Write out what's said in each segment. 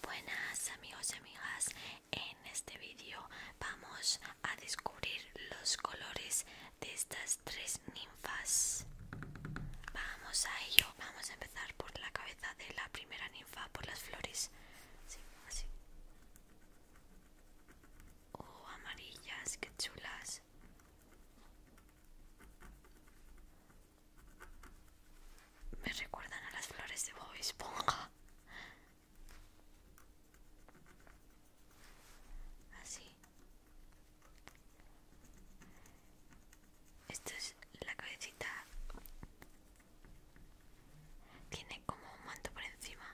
Buenas amigos y amigas, en este vídeo vamos a descubrir los colores de estas tres ninfas. Vamos a ello, vamos a empezar por la cabeza de la primera ninfa, por las flores. Oh, amarillas, qué chulas. Me recuerdan a las flores de Bob Esponja. Así. Esta es la cabecita. Tiene como un manto por encima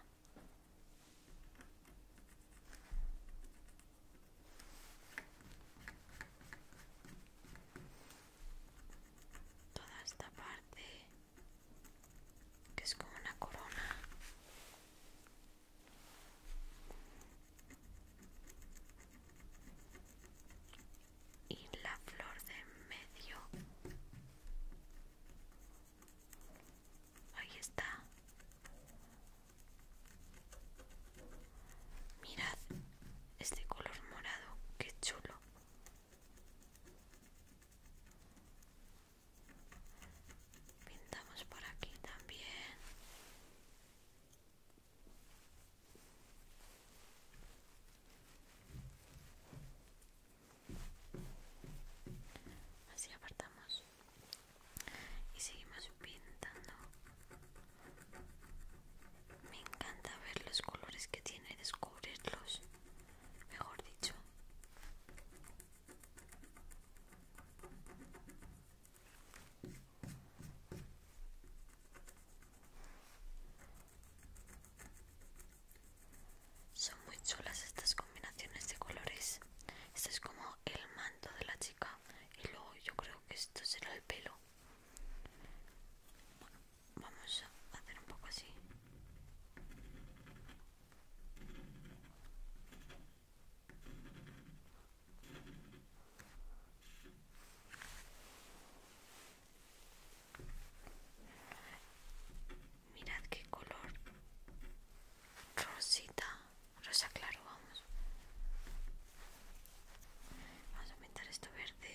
toda esta parte que es como una corona y la flor de en medio ahí está mirad este color morado que chulo Pintamos por aquí también. Así apartamos y seguimos pintando me encanta ver los colores que tiene y descubrirlos, mejor dicho. Son muy chulas estas combinaciones de colores. Este es como el manto de la chica y luego yo creo que esto será el pelo vamos a hacer un poco así mirad qué color rosita rosa claro vamos vamos a pintar esto verde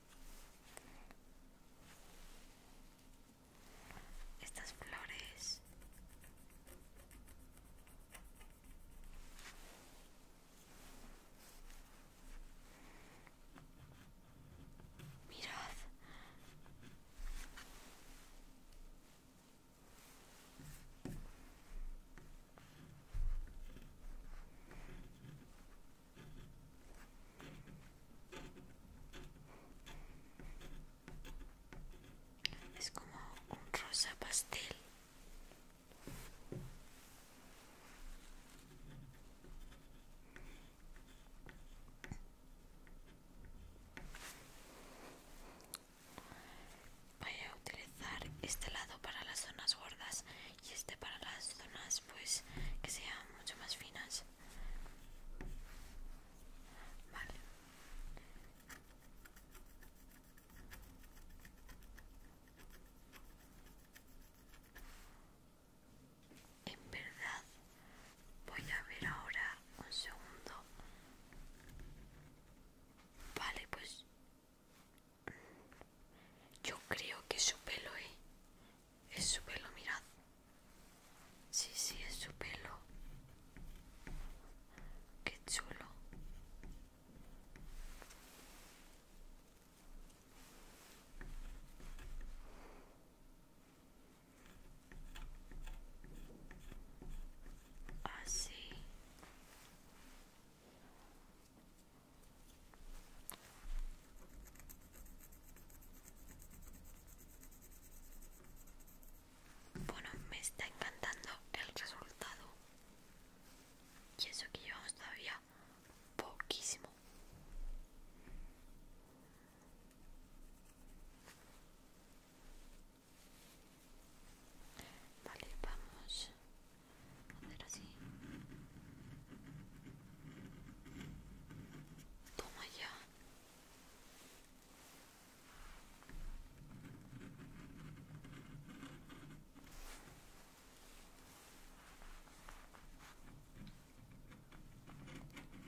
Estas flores Mirad. Es como un rosa pastel. Voy a utilizar este lado para las zonas gordas y este para las zonas pues que sean mucho más finas vale en verdad voy a ver ahora un segundo vale pues yo creo que su pelo, ¿eh? Es su pelo, mirad. Sí, sí, es su pelo. Qué chulo. Así. Ah, bueno, me está encantando el resultado. Y eso que llevamos todavía poquísimo. Vale, vamos hacer así toma ya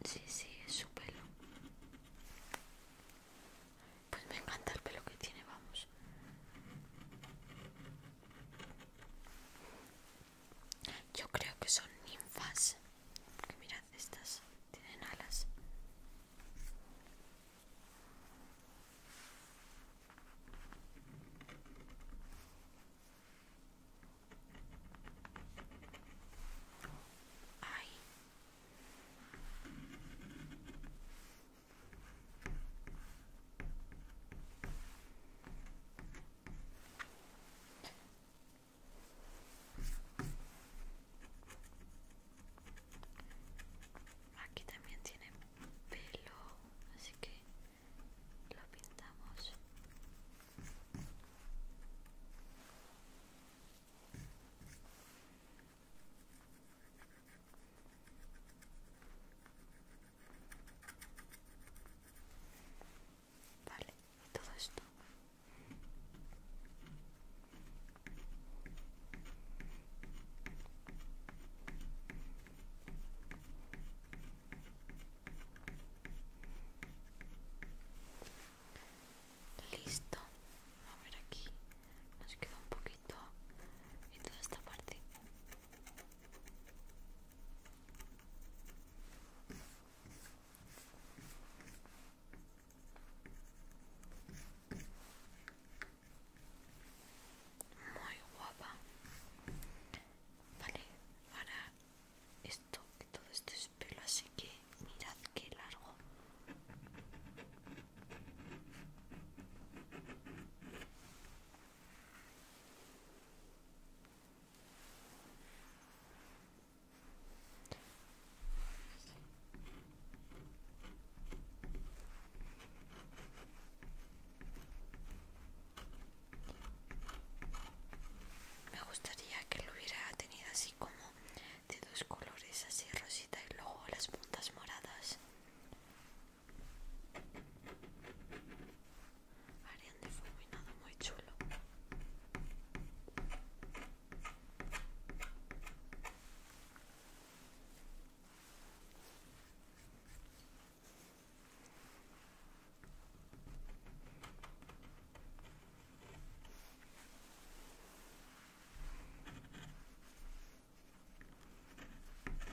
Sí, sí, es su pelo. Pues me encanta el pelo que tiene, vamos. Yo creo que son ninfas. mirad, estas tienen alas. Aquí también tiene pelo, así que lo pintamos. Vale, y todo esto. Listo, a ver aquí nos queda un poquito y toda esta parte muy guapa. Vale, ahora esto, que todo esto es pelo, así que mirad qué largo. Me gustaría que lo hubiera tenido así como de dos colores, así rosita y luego las puntas moradas harían de fulminado muy chulo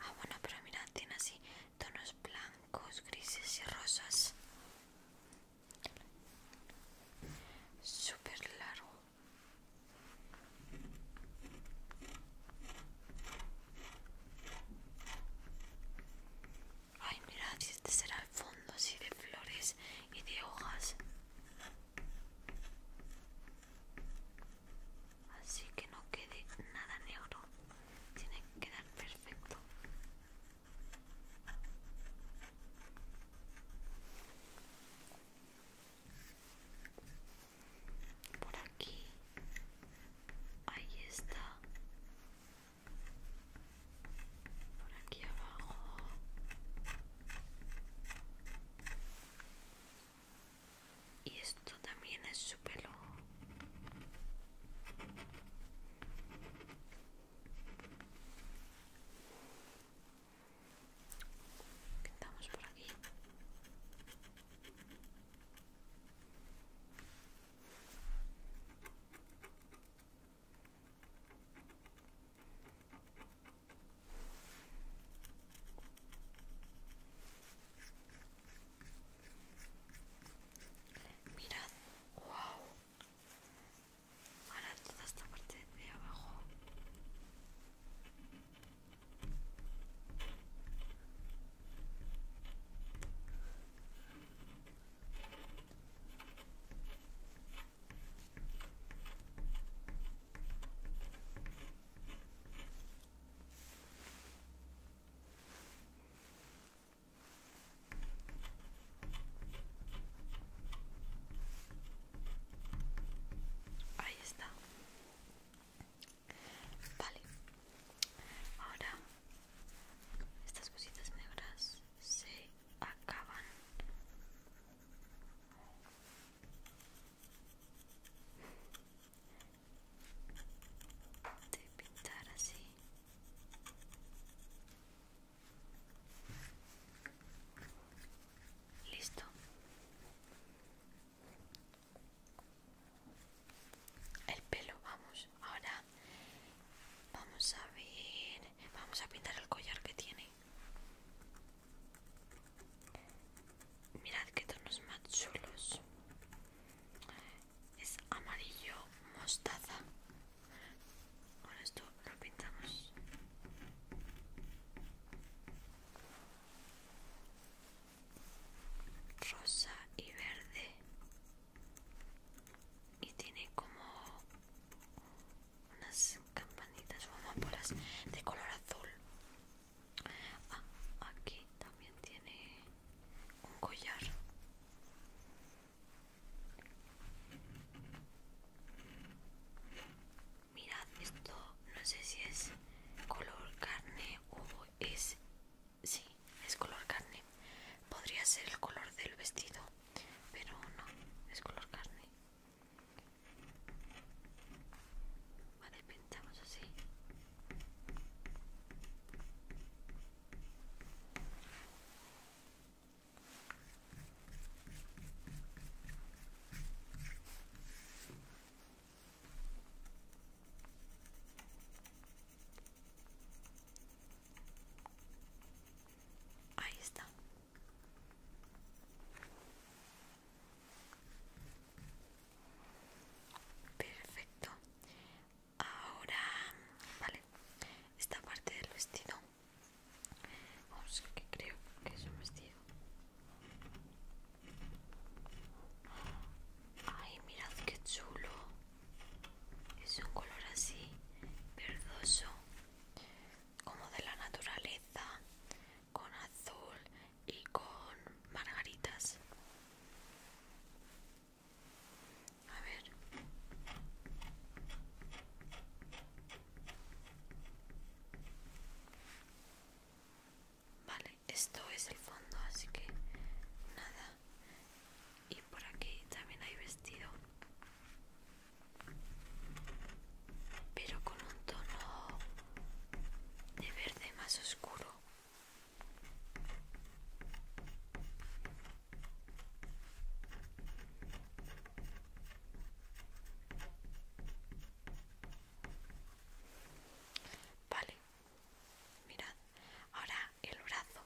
Ah, bueno, pero mira, tiene así tonos blancos, grises y rosas. Súper largo. Ay, mirad, este será el fondo así de flores y de hojas. Así que no quede nada negro. Tiene que quedar perfecto. Por aquí. Ahí está por aquí abajo y esto también es su pelo Estamos por aquí Mirad, wow. Ahora toda esta parte de abajo. Ahí está. Vale. Ahora estas cositas negras se acaban de pintar así listo el pelo vamos ahora vamos a ver vamos a pintar el collar que tiene mirad que tonos más chulos es amarillo mostaza ahora esto lo pintamos rosa y verde y tiene como unas campanitas o de color azul ah, aquí también tiene un collar mirad esto no sé si es color carne o es Sí, es color carne. Podría ser el color del vestido, pero no, es color carne. Vale, pintamos así. Ahí está. Perfecto. Ahora, vale, esta parte del vestido. Vamos, creo que es un vestido. Ay, mirad qué chulo es un color así verdoso como de la naturaleza con azul y con margaritas a ver vale esto es el fondo, así que nada. Y por aquí también hay vestido, pero con un tono de verde más oscuro. Vale, Mirad, ahora el brazo.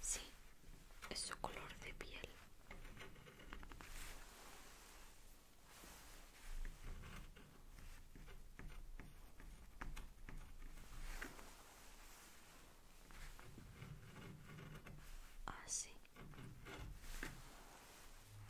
Sí, es su color de piel. Así. Ah,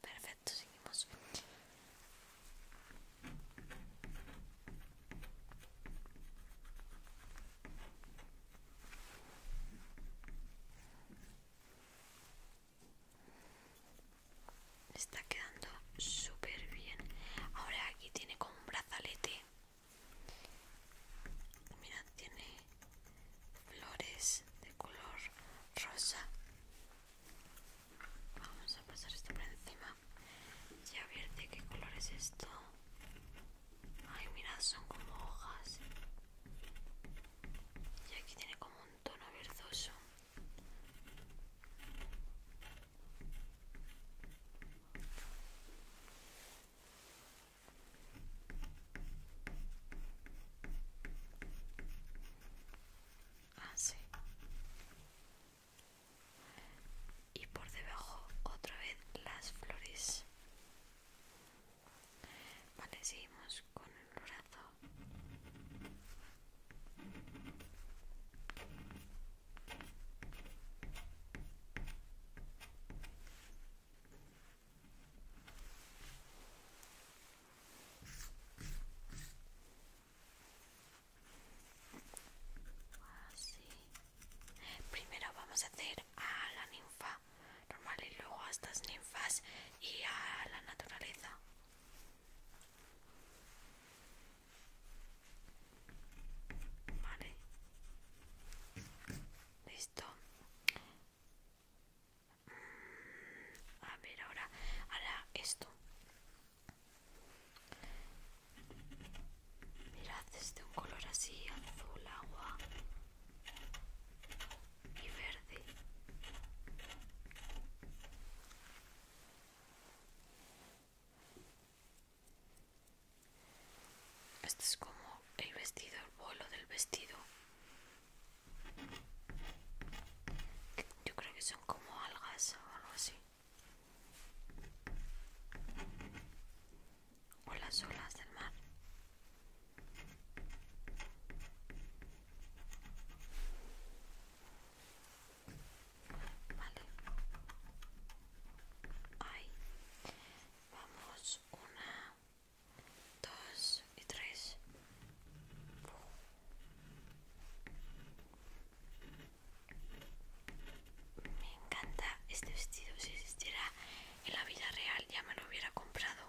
Perfecto, seguimos. Está quedando súper bien. Ahora aquí tiene como un brazalete. Mira, tiene flores de color rosa Vamos a pasar esto por encima. Y a qué color es esto. Ay, mirad, son como hojas. Y aquí tiene como un tono verdoso. Así ah, Y por debajo otra vez las flores. Vale, seguimos con el brazo. Primero vamos a hacer a la ninfa normal y luego a estas ninfas y a la naturaleza. Vale. Listo. A ver, ahora hará esto. Mirad, es de un color así, azul, agua y verde. Este es como el vestido, el vuelo del vestido. Yo creo que son como algas o algo así. O las olas del mar. Vale. Ahí. Vamos. Una, dos y tres. Me encanta este vestido. Si existiera en la vida real ya me lo hubiera comprado.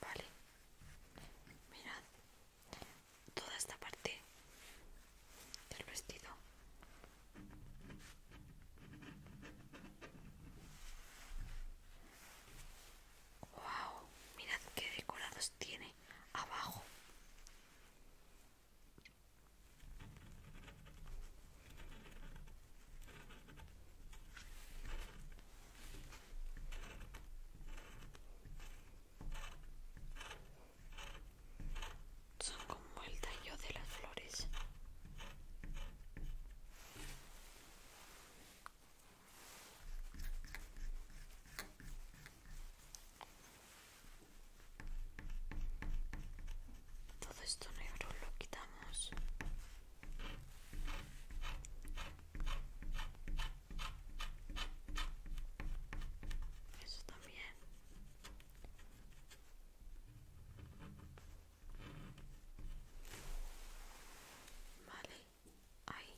Vale. Mirad, toda esta parte del vestido wow mirad qué decorados tiene abajo son como el tallo de las flores. Todo esto negro lo quitamos. Eso también. Vale, ahí.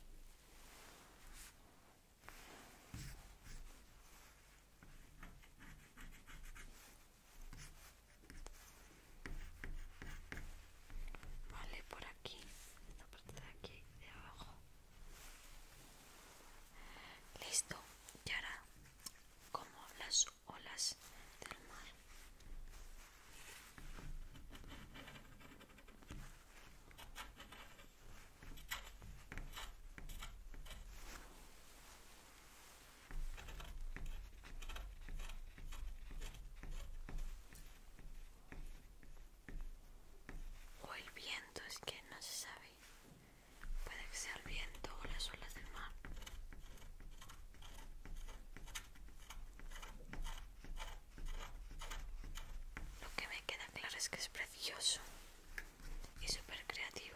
Vale, por aquí, Esta parte de aquí de abajo. Listo, Ya era como las olas del mar. O el viento es que no se sabe Puede que sea el viento o las olas del mar. Lo que me queda claro es que es precioso y súper creativo.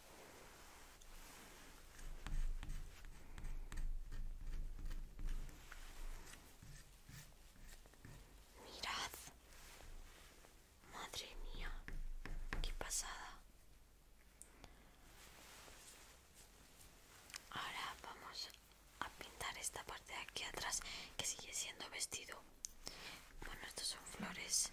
Mirad. Madre mía, qué pasada. Ahora vamos a pintar esta parte de aquí atrás que sigue siendo vestido. Bueno, estos son flores.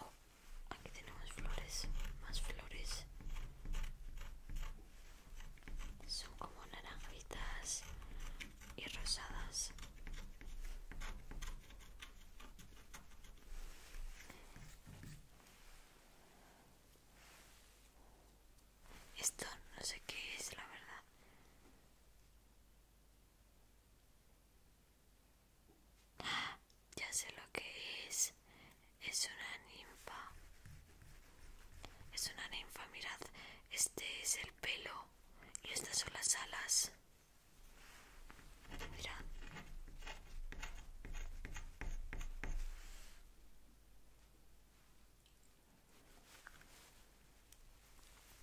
Oh, aquí tenemos flores, más flores. Son como naranjitas y rosadas. Esto no sé qué es, la verdad. Ya sé lo que es. Es una ninfa. Es una ninfa, mirad. Este es el pelo y estas son las alas. Mirad.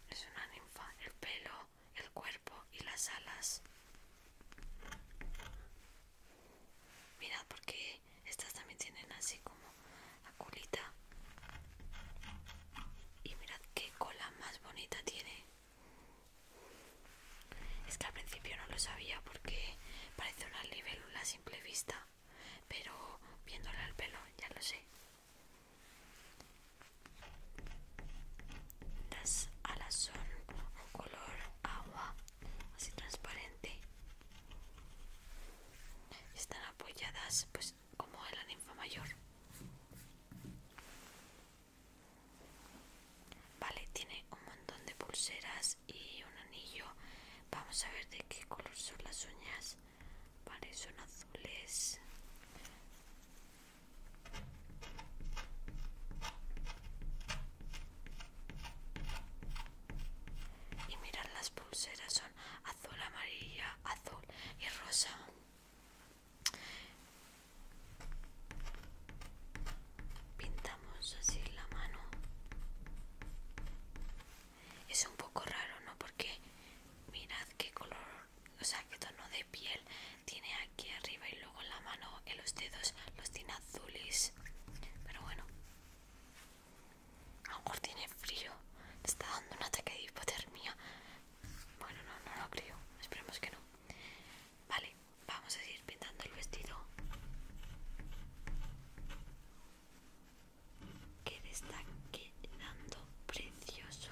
Es una ninfa, el pelo, el cuerpo y las alas. Mirad porque estas también tienen así como la culita Y mirad qué cola más bonita tiene. Es que al principio no lo sabía porque parece una libélula a simple vista, pero viéndola el pelo ya lo sé. Las alas son un color agua, así transparente. Están apoyadas pues como en la ninfa mayor. Vale, tiene un montón de pulseras y un anillo. Vamos a ver de qué color son las uñas. Vale, son azules. Y mirad las pulseras, son azul, amarilla, azul y rosa. Pintamos así la mano. Es un poco raro, ¿no? Porque mirad qué color o sea, qué tono de piel tiene aquí arriba y luego en la mano, en los dedos, los tiene azules. Pero bueno, a lo mejor tiene frío, está dando un ataque de hipotermia. Bueno, no, no lo creo, esperemos que no. Vale, vamos a seguir pintando el vestido. Que está quedando precioso.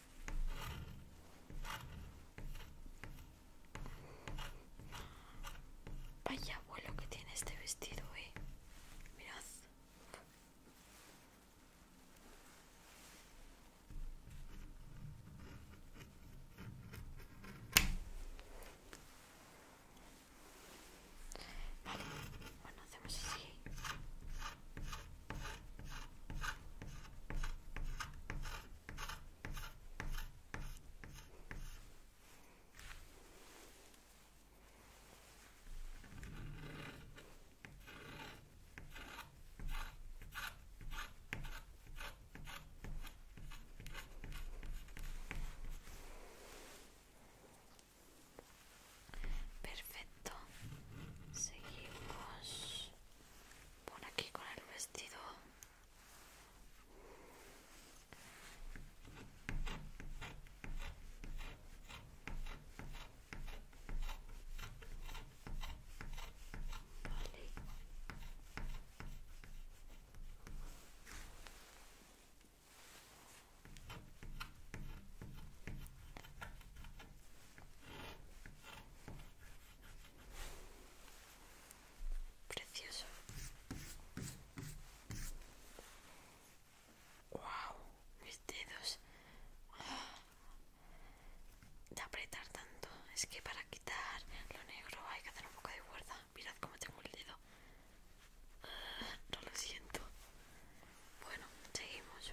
Vaya abuelo que tiene este vestido, eh. Mirad. bueno, hacemos así. Perfecto, seguimos por aquí con el vestido Precioso. Wow, mis dedos. De apretar tanto. Es que para quitar lo negro hay que hacer un poco de fuerza. Mirad cómo tengo el dedo. Ah, no lo siento. Bueno, seguimos.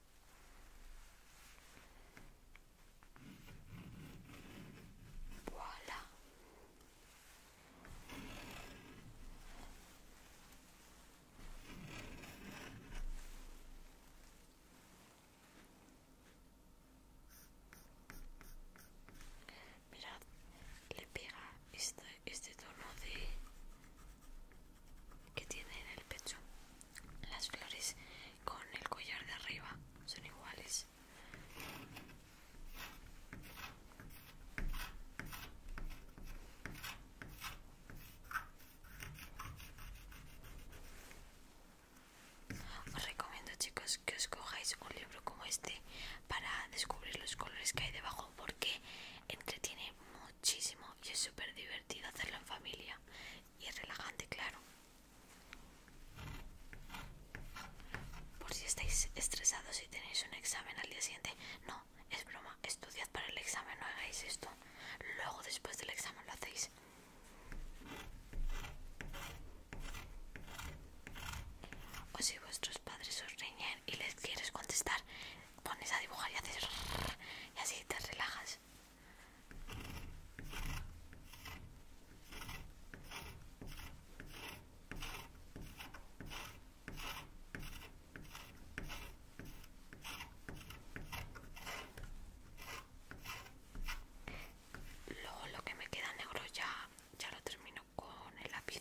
Voilà. Mirad, le pega este, este tono de que tiene en el pecho. Las flores con el collar de arriba son iguales. Os recomiendo chicos que os cojáis un libro como este para descubrir los colores que hay debajo porque entretiene muchísimo y es súper divertido hacerlo en familia y es relajante, claro. Por si estáis estresados y tenéis un examen al día siguiente, no, es broma, estudiad para el examen, no hagáis esto. Luego después del examen lo hacéis. O si vuestros padres os riñen y les quieres contestar, pones a dibujar y haces y así te relajas. Luego lo que me queda negro ya, ya lo termino con el lápiz.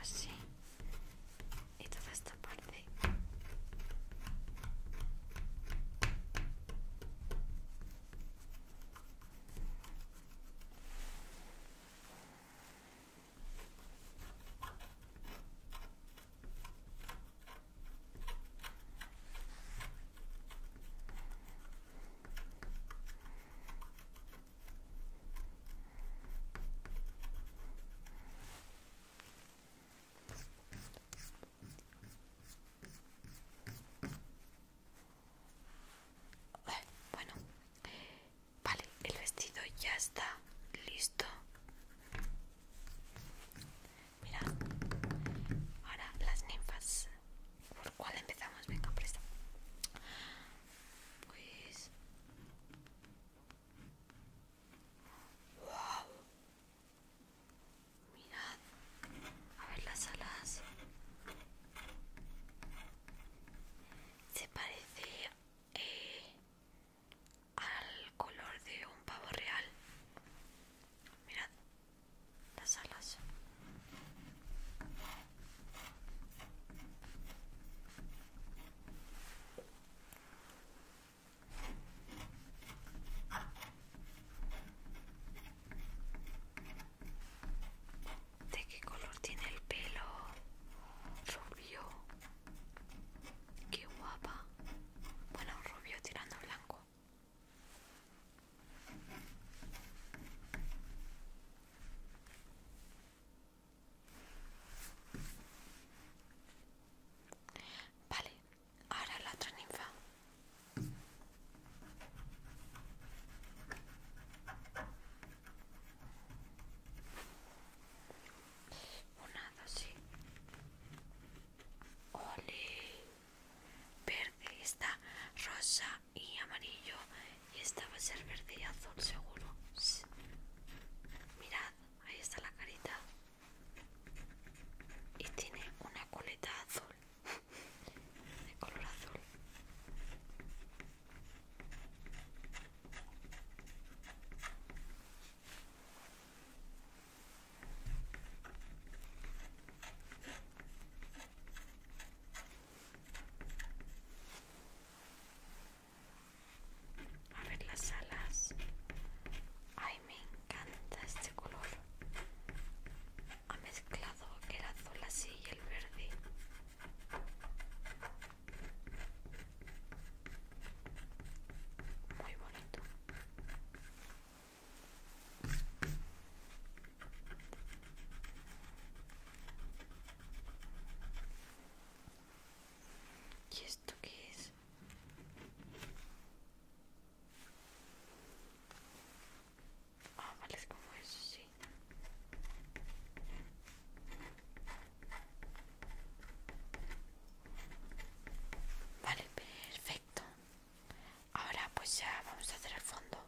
así ah, y toda esta parte bueno, vale, el vestido ya está listo. Mira, ahora las ninfas. ¿Por cuál empezamos? Venga, presta. Pues. ¡Wow! Mirad, a ver las alas. Se parece. Eh, al color de un pavo real. Mirad las alas. ¿De qué color tiene el pelo? Rubio. Qué guapa bueno, rubio tirando blanco. Vale, ahora la otra ninfa. dos, sí. Ole. Verde está rosa y amarillo. Y esta va a ser verde y azul seguro. Mirad, ahí está la carita. Y tiene una coleta azul. De color azul. A ver las alas. Ay, me encanta este color. Ha mezclado el azul así y el verde muy bonito ¿Y esto qué es? Ah, vale, es como eso, sí. Vale, perfecto. Ahora pues ya vamos a hacer el fondo.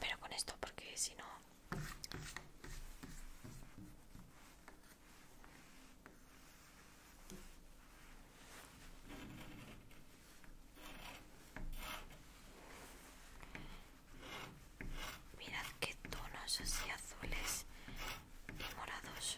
Pero con esto porque si no... Mirad qué tonos así azules y morados.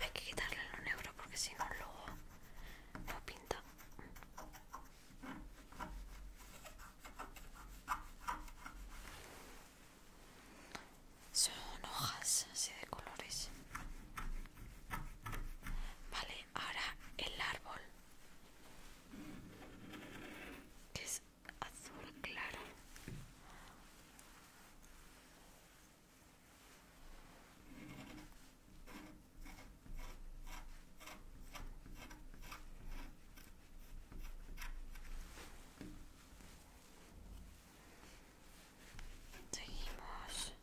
Hay que quitarle lo negro porque si no luego no pinta. Son hojas así de colores. Vale, ahora el árbol. es azul claro Seguimos.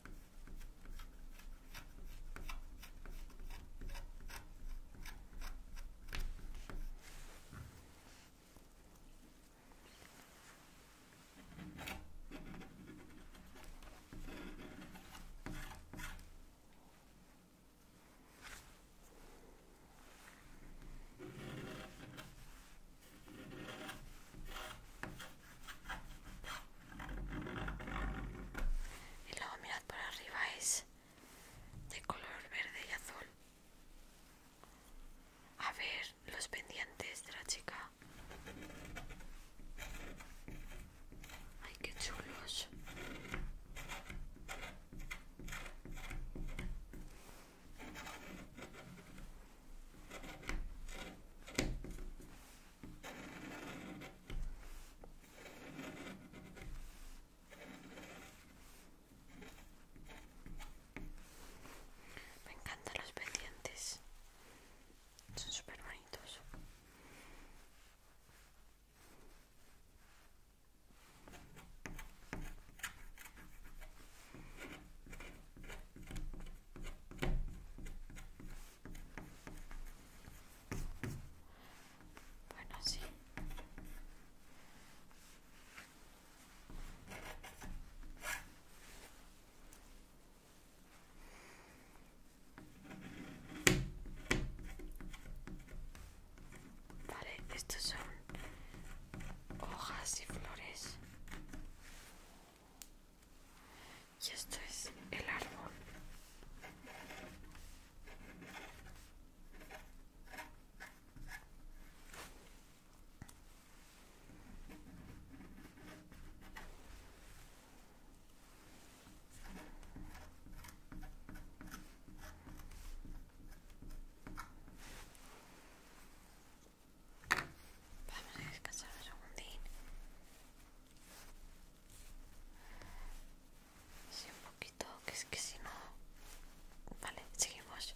Y luego mirad por arriba, es de color verde y azul. A ver, los pendientes de la chica. Ay, qué chulos. Me encantan los pendientes. Son súper bonitos. Bueno, sí. Vale, estos son hojas y flores. Y esto es el árbol. Vamos a descansar un segundín. Sí, un poquito, que es que si no... Vale, seguimos.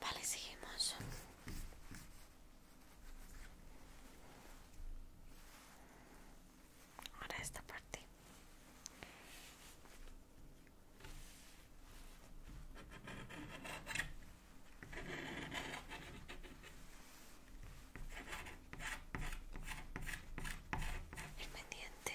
Vale, seguimos ahora esta parte el pendiente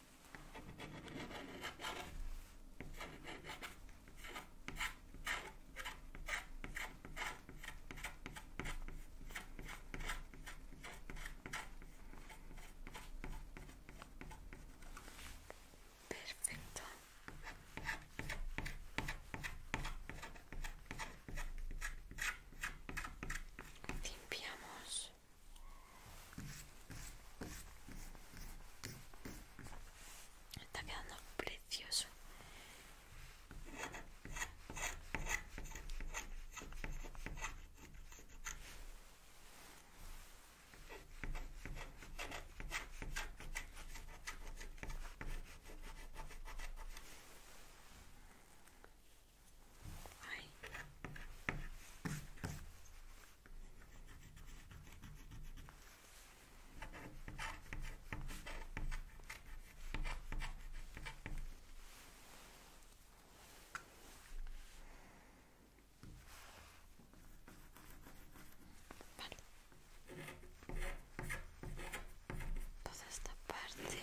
Perfecto. Limpiamos Está quedando precioso. Ay. Toda esta parte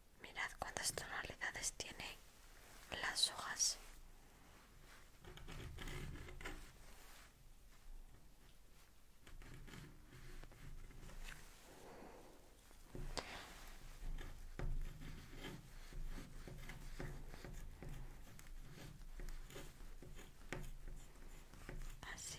Mirad cuántas tonalidades tiene las hojas. Así.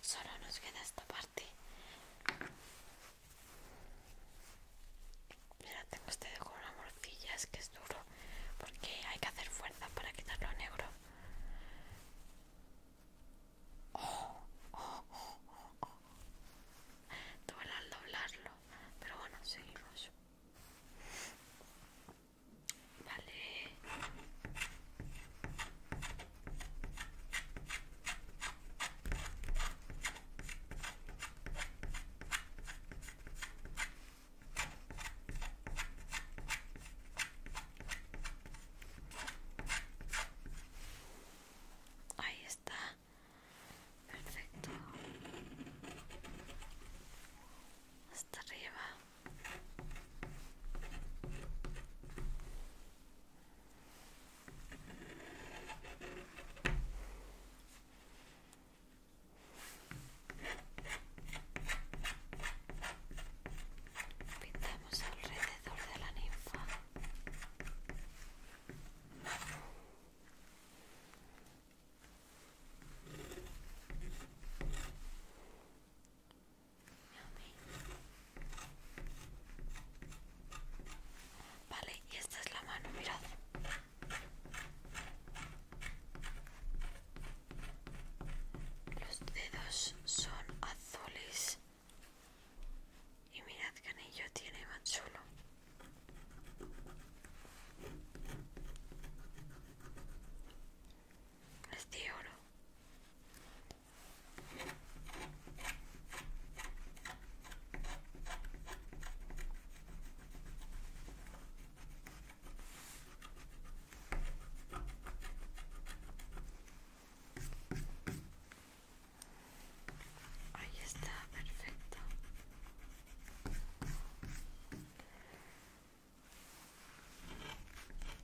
Solo nos queda esta parte. Mira, tengo este pues de una morcilla Es que es duro porque hay que hacer fuerza para quitarlo negro. la al doblarlo, pero bueno, seguimos. Vale. Ahí está. Perfecto. Hasta arriba. Pintamos alrededor de la ninfa. Vale, y esta es la mano, mirad. Los dedos son azules. Y mirad que anillo tiene más Es de oro. Ahí está, perfecto.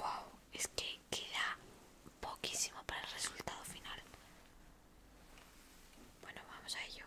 Wow, es que queda poquísimo para el resultado final. Bueno, vamos a ello.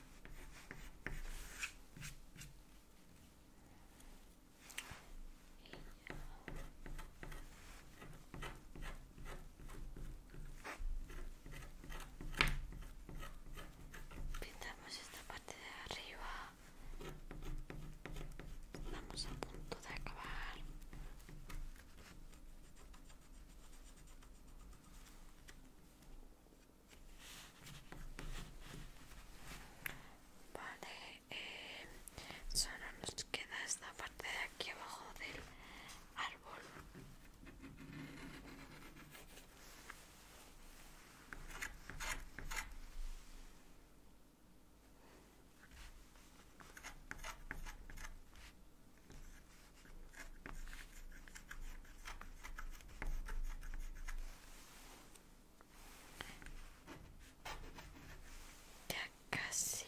Pintamos esta parte de arriba. Estamos a punto de acabar. Vale, eh, solo nos queda esta parte de aquí abajo del árbol. Ya casi.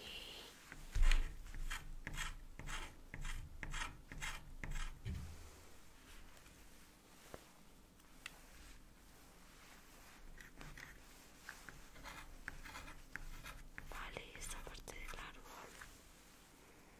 Vale, esta parte del árbol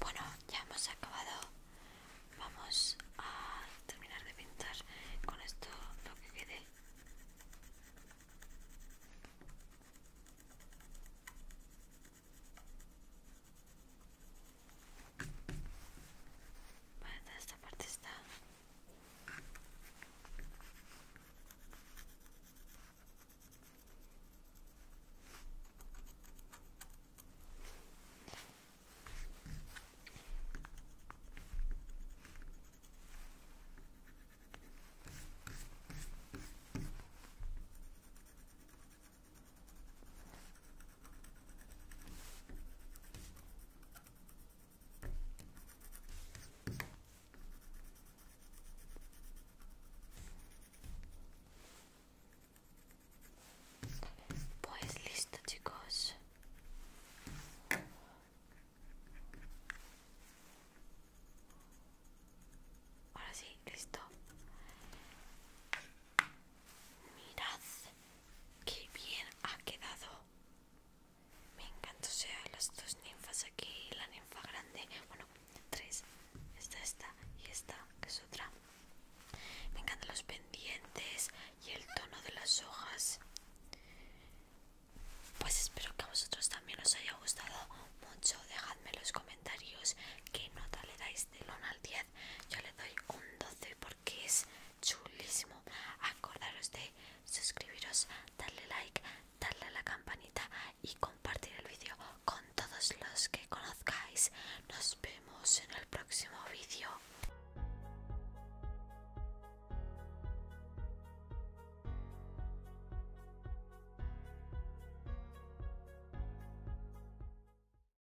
Bueno, ya hemos acabado. Vamos a terminar de pintar con esto lo que quede bueno esta parte está. Pois listo de gosto. Ahora sí, listo. Mirad qué bien ha quedado. Me encantó o sea, las dos ninfas aquí, la ninfa grande, bueno, tres, esta, esta y esta, que es otra. Me encantan los pendientes y el tono de las hojas. Pues espero que a vosotros también os haya gustado mucho. Dejadme en los comentarios qué nota le dais del 1 al 10. Yo le doy un 12 que es chulísimo. Acordaros de suscribiros, darle like, darle a la campanita y compartir el vídeo con todos los que conozcáis. Nos vemos en el próximo vídeo.